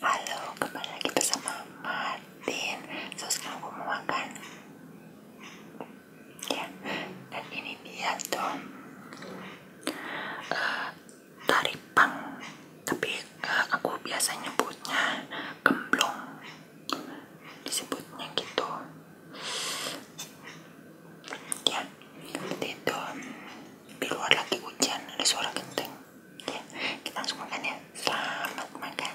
Halo, kembali lagi bersama Martin. So sekarang aku mau makan. Ya, dan ini dia tuh uh, eh, taripang, tapi eh, aku biasa nyebutnya gemblong, disebutnya gitu. Ya, itu. Di luar lagi hujan, ada suara genteng ya, kita langsung makan ya selamat makan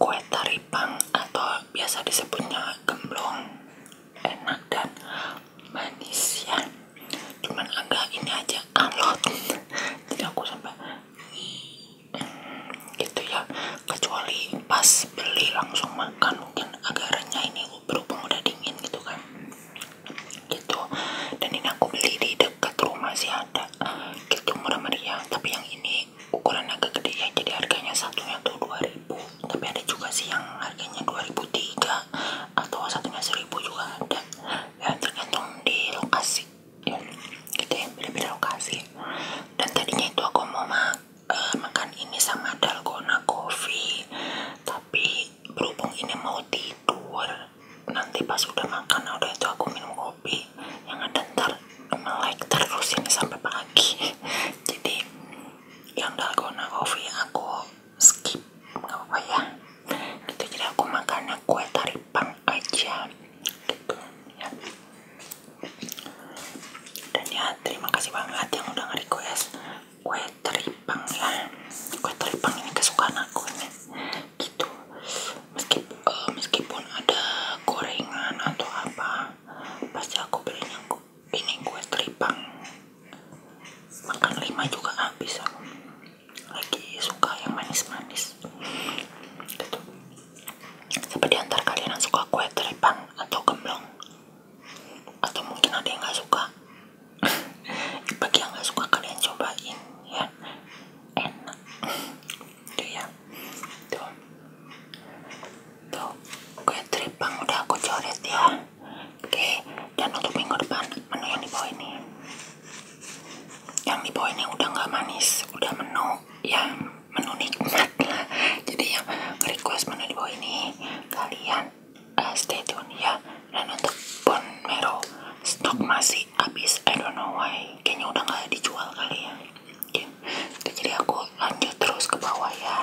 Kue taripang atau biasa disebutnya gemblong enak dan manis ya. Cuman agak ini aja alot. Jadi aku sampai hmm, gitu ya. Kecuali pas beli langsung makan mungkin agak renyah ini berhubung udah dingin gitu kan gitu dan ini aku beli di dekat rumah sih ada gitu murah meriah tapi yang ini ukuran agak gede ya jadi harganya satunya tuh ribu tapi ada juga sih yang harganya dua ribu tiga atau satunya 1000 juga ada ya tergantung di lokasi ya gitu ya beda-beda lokasi dan tadinya itu aku mau eh, makan ini sama dalgona coffee tapi berhubung ini mau tidur nanti pas udah makan nah udah itu aku minum kopi yang ada ntar melek terus ini sampai pagi jadi yang dalgona kopi aku skip nggak apa-apa ya itu jadi aku makannya kue teripang aja gitu ya dan ya terima kasih banget yang udah nge-request kue teripang ya kue teripang ini kesukaan aku ini gitu meskipun, eh, meskipun ada gorengan atau apa pasti aku belinya ini kue teripang makan lima juga habis bisa lagi suka yang manis-manis gitu siapa diantar kalian suka kue teripang atau gemblong atau mungkin ada yang gak suka bagi yang gak suka kalian cobain ya enak tuh gitu ya tuh tuh kue tripang udah aku coret ya oke dan untuk minggu depan menu yang di bawah ini yang di bawah ini udah nggak manis udah menu yang menunik nikmat lah jadi yang request menu di bawah ini kalian uh, stay tune ya dan untuk bone marrow stok masih habis I don't know why kayaknya udah nggak dijual kali ya okay. jadi aku lanjut terus ke bawah ya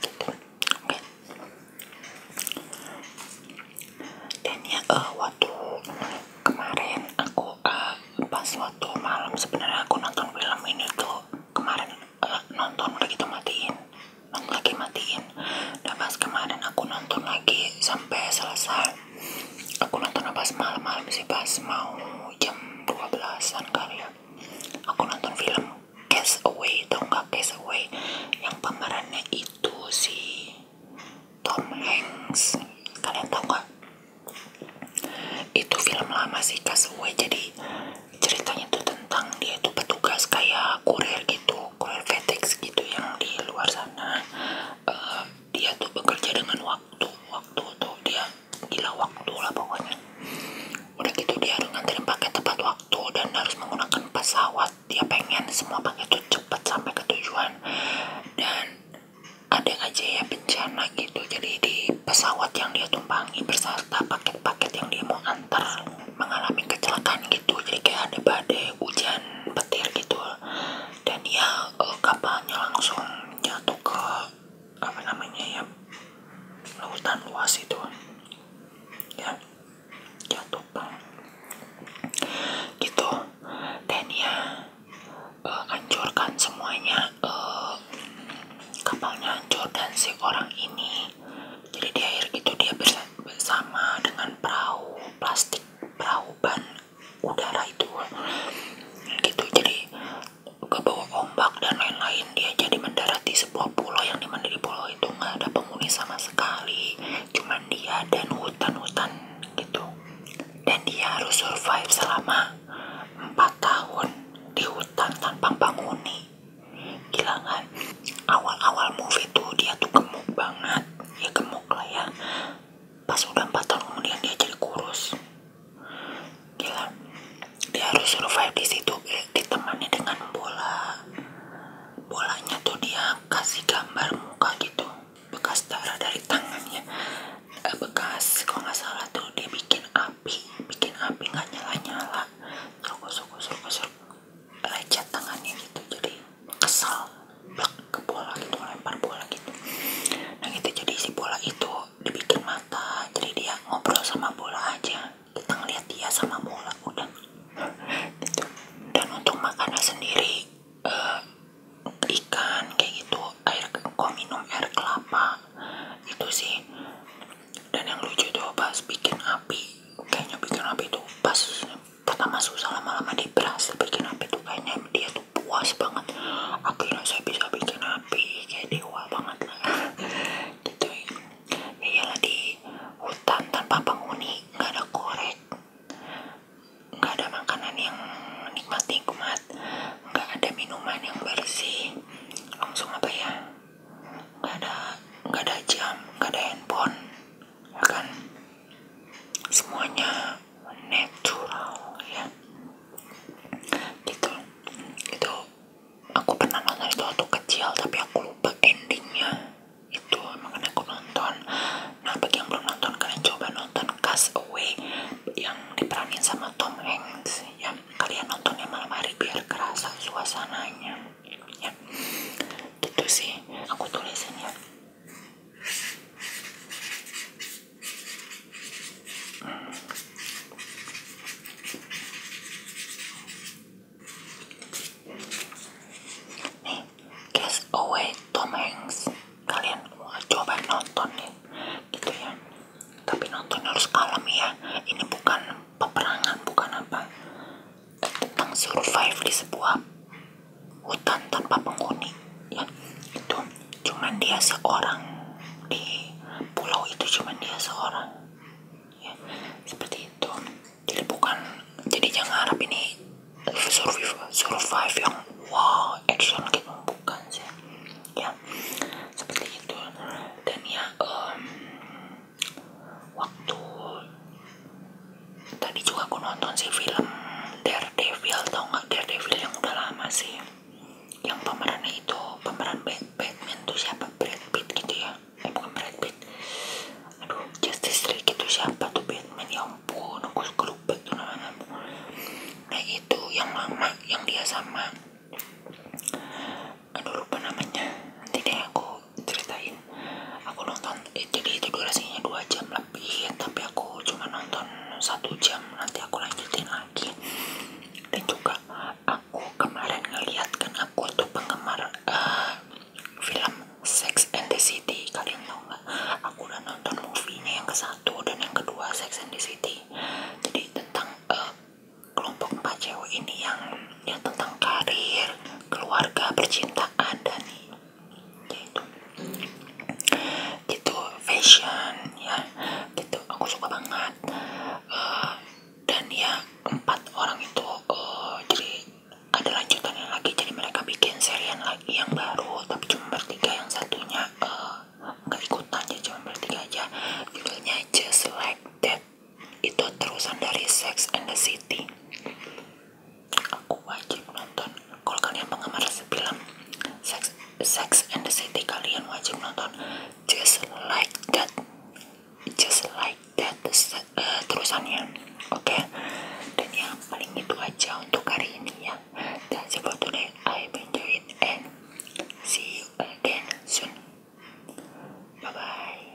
gitu okay. dan ya eh, waktu kemarin aku eh, pas waktu malam sebenarnya aku nonton film ini tuh kemarin eh, nonton udah gitu matiin nonton lagi matiin nah pas kemarin aku nonton lagi sampai selesai aku nonton pas malam-malam sih pas mau jam 12an kali ya aku nonton film Cast Away tau gak Cast Away yang pemerannya itu si Tom Hanks kalian tau gak itu film lama sih Cast Away jadi ceritanya tuh tentang dia tuh petugas kayak kurir gitu kurir FedEx gitu yang di luar sana nah dia tuh bekerja dengan waktu waktu tuh dia gila waktu lah pokoknya udah gitu dia harus nganterin paket tepat waktu dan harus menggunakan pesawat dia pengen semua paket tuh cepat sampai ke tujuan dan ada aja ya bencana gitu jadi di pesawat yang dia tumpangi berserta paket-paket yang dia mau antar mengalami kecelakaan gitu jadi kayak ada badai hujan petir gitu dan ya eh, kapalnya langsung jatuh ke apa namanya ya lautan luas itu ya jatuh bang gitu dan ya uh, hancurkan semuanya eh, kapalnya hancur dan si orang ini jadi di air gitu dia bisa sama dengan perahu plastik perahu ban udara itu gitu jadi kebawa ombak dan lain-lain dia jadi mendarat di sebuah pulau yang dimana di pulau itu nggak ada penghuni sama sekali cuman dia dan hutan-hutan gitu dan dia harus survive selama 4 tahun di hutan tanpa penghuni gila awal-awal movie tuh dia tuh gemuk banget ya gemuk lah ya pas udah empat tahun kemudian dia jadi kurus gila dia harus survive di situ eh, ditemani dengan bola bolanya tuh dia kasih gambar muka gitu bekas darah dari tangannya eh, bekas kalau nggak salah tuh dia bikin api bikin api nggak nyala nyala terus kusur kusur kusur lecet tangannya gitu jadi kesal blak ke bola gitu lempar bola gitu nah gitu jadi si bola itu dibikin mata jadi dia ngobrol sama bola aja kita ngeliat dia sama bola udah dan untuk makanan sendiri uh, ikan kayak gitu air kok minum air kelapa itu sih dan yang lucu tuh pas bikin api kayaknya bikin api tuh pas pertama susah lama-lama dia berhasil bikin api tuh kayaknya dia tuh puas banget akhirnya saya bisa bikin api kayak dewa banget lah gitu ya iyalah di hutan tanpa penghuni nggak ada korek nggak ada makanan yang nikmat-nikmat nggak ada minuman yang versi langsung apa ya nggak ada nggak ada jam nggak ada handphone ya kan semuanya natural ya gitu itu aku pernah nonton itu waktu kecil tapi aku lupa endingnya itu makanya aku nonton nah bagi yang belum nonton kalian coba nonton Cast Away yang diperankan sama Tom Hanks ya kalian nontonnya malam hari biar kerasa suasananya ya gitu sih aku tulisin ya hmm. nih Cast Away Tom Hanks kalian coba nonton nih gitu ya tapi nonton harus kalem ya ini bukan peperangan bukan apa tentang survive di sebuah hutan tanpa penghuni ya itu cuman dia seorang di pulau itu cuman dia seorang ya seperti itu jadi bukan jadi jangan harap ini survive survive yang wow action gitu bukan sih ya seperti itu dan ya um, waktu tadi juga aku nonton sih film Daredevil tau nggak Daredevil yang udah lama sih yang pemerannya itu pemeran Batman tuh siapa Brad Pitt gitu ya eh bukan Brad Pitt aduh Justice League itu siapa tuh Batman ya ampun aku lupa tuh namanya nah itu yang lama yang dia sama aduh lupa namanya nanti deh aku ceritain aku nonton eh, jadi itu durasinya dua jam lebih tapi aku cuma nonton satu jam nanti aku lanjutin lagi dan juga aku kemarin ngeliat kan aku tuh penggemar eh, film Sex and the City kalian tau nggak aku udah nonton movie-nya yang ke satu dan yang kedua Sex and the City jadi tentang eh, kelompok empat cewek ini yang yang tentang karir keluarga percintaan dan gitu gitu fashion ya gitu aku suka banget eh, dan ya empat orang itu uh, jadi ada lanjutannya lagi jadi mereka bikin serian lagi yang baru tapi cuma bertiga yang satunya eh, nggak uh, ikutan ya, cuma bertiga aja judulnya just like that itu terusan dari Sex and the City aku wajib nonton kalau kalian penggemar film Sex, Sex and the City kalian wajib nonton Just Like That Just Like That uh, terusannya oke dan yang paling itu aja untuk hari ini ya that's it for I enjoy it and see you again soon bye bye